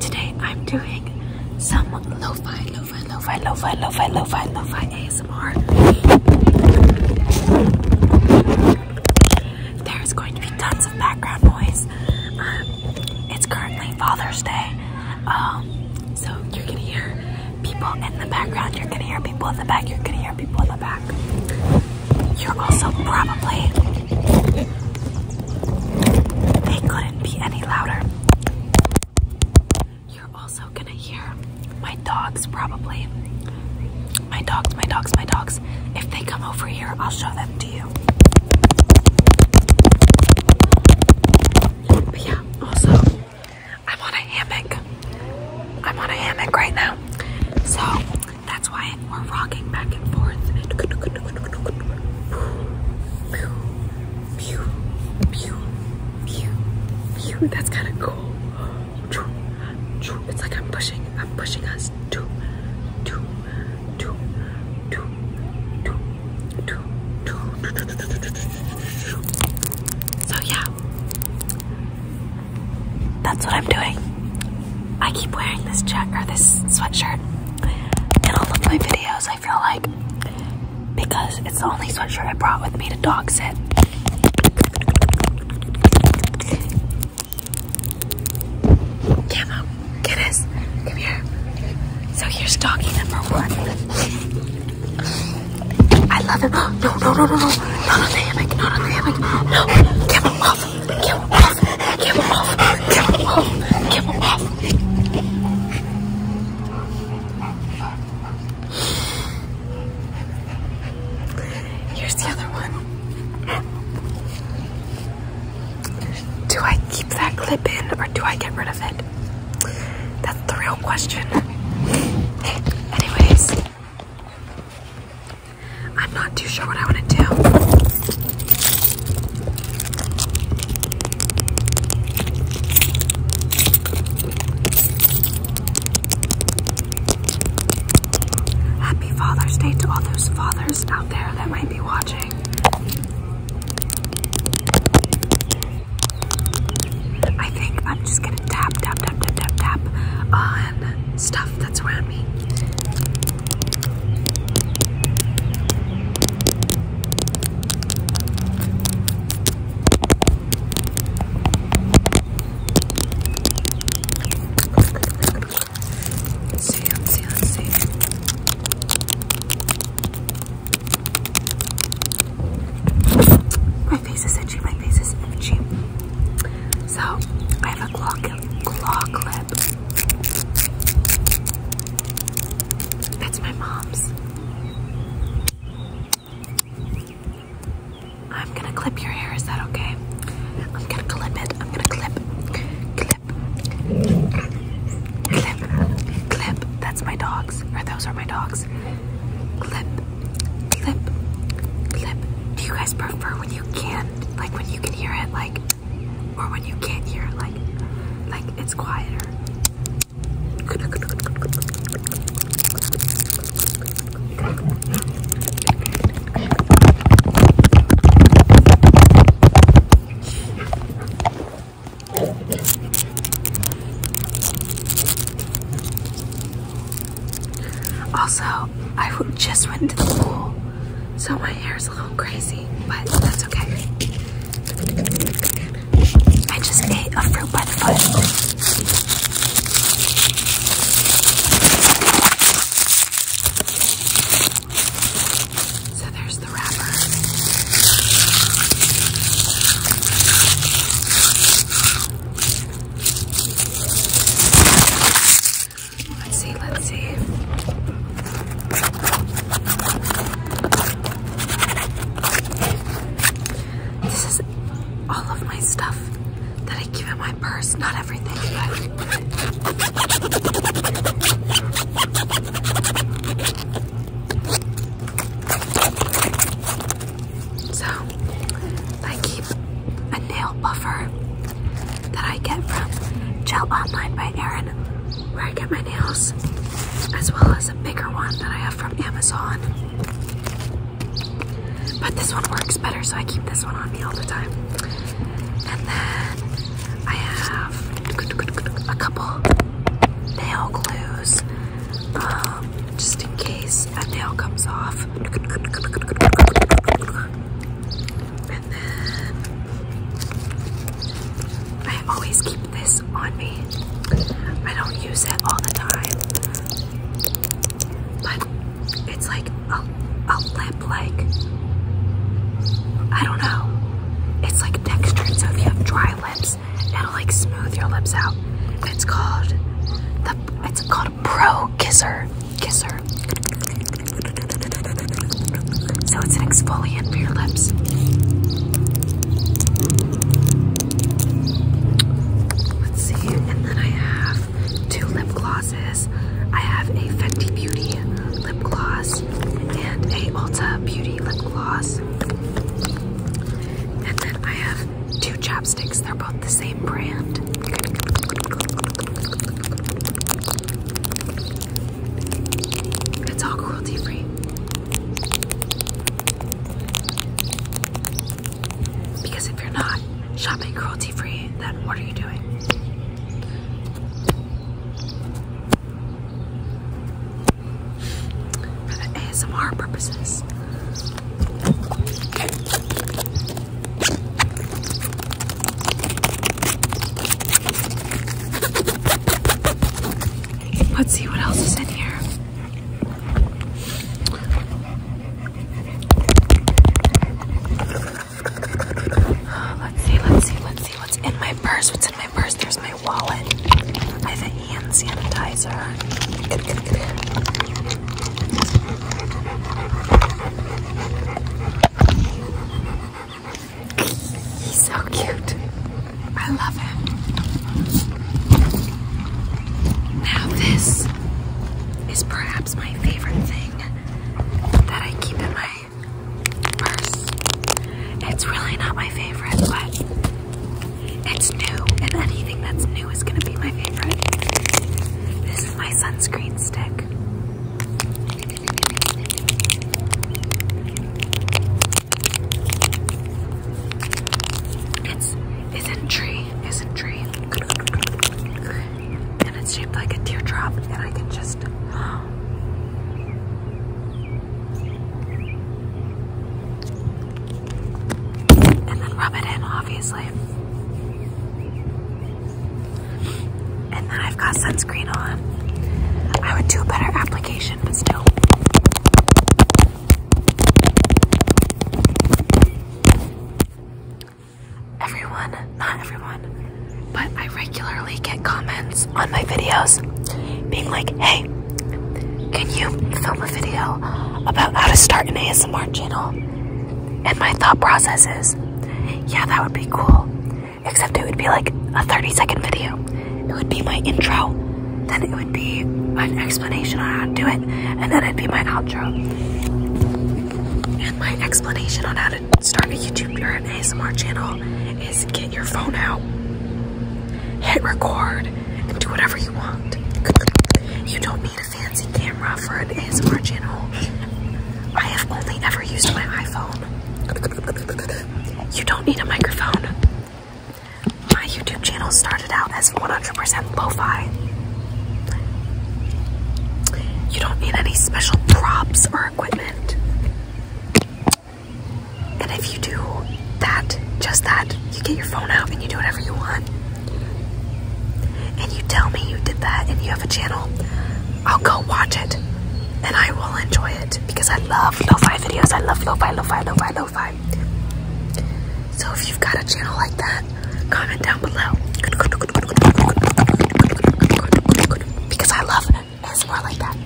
Today I'm doing some lo-fi, lo-fi, lo-fi, lo-fi, ASMR. There's going to be tons of background noise. Um, it's currently Father's Day. Um, so you're gonna hear people in the background, you're gonna hear people in the back, you're gonna hear people in the back. You're also probably they couldn't be any louder. You're also gonna hear my dogs probably. My dogs, my dogs, my dogs. If they come over here, I'll show them to you. But yeah, also, I'm on a hammock. I'm on a hammock right now. So that's why we're rocking back and forth. That's kind of cool. It's like I'm pushing, I'm pushing us. to, to, to, to, to, to, so yeah, that's what I'm doing. I keep wearing this check or this sweatshirt in all of my videos, I feel like, because it's the only sweatshirt I brought with me to dog sit. Camo, get us. Come here. So here's doggy number one. I love him. No, no, no, no, no. Not on the hammock. Not on the hammock. No. Camo off. Camo off off. Get him off. Get him off. Get him off. Here's the other one. Do I keep that clip in or do I get rid of it? That's the real question. Anyways, I'm not too sure what I want to do. Happy Father's Day to all those fathers out there that might be watching. I think I'm just gonna tap, tap, tap, tap, tap on stuff that's around me. Let's see, My face is itchy, my face is itchy. So I have a claw, lip. That's my mom's. I'm gonna clip your hair, is that okay? I'm gonna clip it. I'm gonna clip. Clip. Clip. Clip. That's my dogs. Or those are my dogs. Clip. Clip. Clip. Do you guys prefer when you can, like when you can hear it, like or when you can't hear it, like like it's quieter. Also, I just went into the so my my hair is a little crazy, but that's okay. I just ate a fruit by the foot. So there's the wrapper. Let's see, let's see. This is all of my stuff that I keep in my purse. Not everything, but. So, I keep a nail buffer that I get from Gel Online by Erin, where I get my nails, as well as a bigger one that I have from Amazon. But this one works better, so I keep this one on me all the time. And then I have a couple nail glues, um, just in case a nail comes off. And then I always keep this on me. I don't use it all the time, but it's like a, a lip, like I don't know. It's like textured, so if you have dry lips, it'll like smooth your lips out. It's called the. It's called Pro Kisser kiss her. So it's an exfoliant for your lips. Let's see, and then I have two lip glosses. I have a Fenty Beauty lip gloss and a Ulta Beauty lip gloss. And then I have two chapsticks. They're both the same brand. It's all cruelty free. Because if you're not shopping cruelty free, then what are you doing? For ASMR purposes. Let's see what else is in here. Let's see, let's see, let's see what's in my purse. What's in my purse? There's my wallet. I have hand sanitizer. He's so cute. I love him. Now this is perhaps my favorite thing that I keep in my purse. It's really not my favorite, but it's new, and anything that's new is gonna be my favorite. This is my sunscreen stick. It's it's tree, it's in tree, and it's shaped like a teardrop, and I can just. And then rub it in, obviously. And then I've got sunscreen on. I would do a better application, but still. Everyone, not everyone, but I regularly get comments on my videos being like, hey, can you film a video about how to start an ASMR channel? And my thought process is, yeah, that would be cool. Except it would be like a 30 second video. It would be my intro, then it would be an explanation on how to do it, and then it'd be my outro. And my explanation on how to start a YouTube or an ASMR channel is get your phone out, hit record, and do whatever you want. You don't need your fancy camera for an ASMR channel. I have only ever used my iPhone. You don't need a microphone. My YouTube channel started out as 100% lo-fi. You don't need any special props or equipment. And if you do that, just that, you get your phone out and you do whatever you want. And you tell me you did that and you have a channel, I'll go watch it and I will enjoy it because I love lo-fi videos. I love lo-fi, lo-fi, lo-fi, lo-fi. So if you've got a channel like that, comment down below. Because I love it. It's more like that.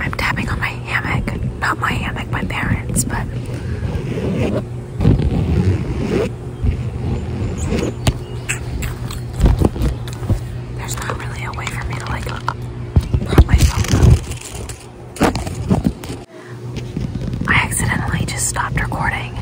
I'm tapping on my hammock. Not my hammock, my parents, but there's not really a way for me to like prop my I accidentally just stopped recording.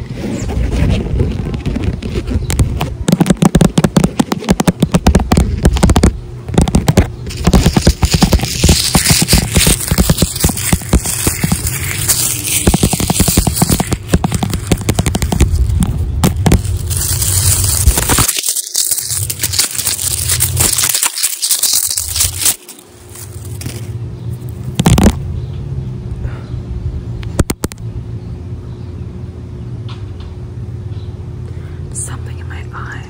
Something in my eye,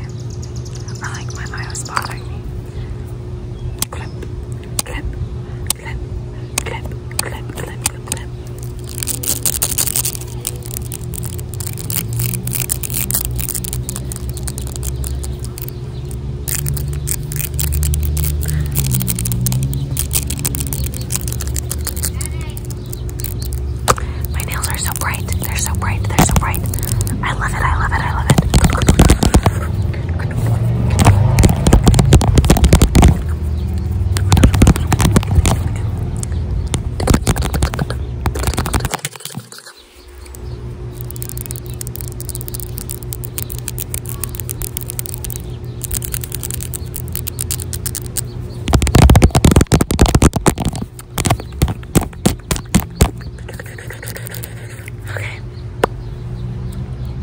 or like my eye was bothering me. Clip, clip, clip, clip, clip, clip, clip, clip. My nails are so bright. They're so bright. They're so bright. I love it. I love it. I love it. Okay.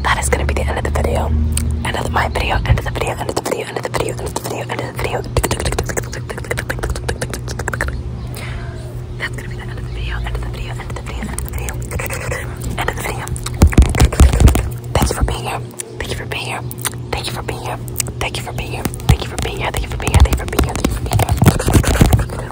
That is gonna be the end of the video. End of the, my video, end of the video, end of the video, end of the video, end of the video, end of the video that's gonna be the end of the video, end of the video, end of the video, end of the video, end of the video. Thanks for being here. Thank you for being here. Thank you for being here. Thank you for being here. Thank you for being here. Thank you for being here. Thank you for being here. Thank you for being here.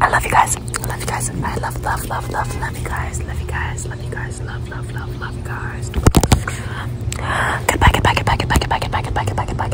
I love you guys. I love you guys. I love, love, love, love, love you guys. Love you guys. Love you guys. Love, love, love, love you guys. Goodbye, goodbye, goodbye, goodbye, goodbye, goodbye, goodbye, goodbye, goodbye, goodbye.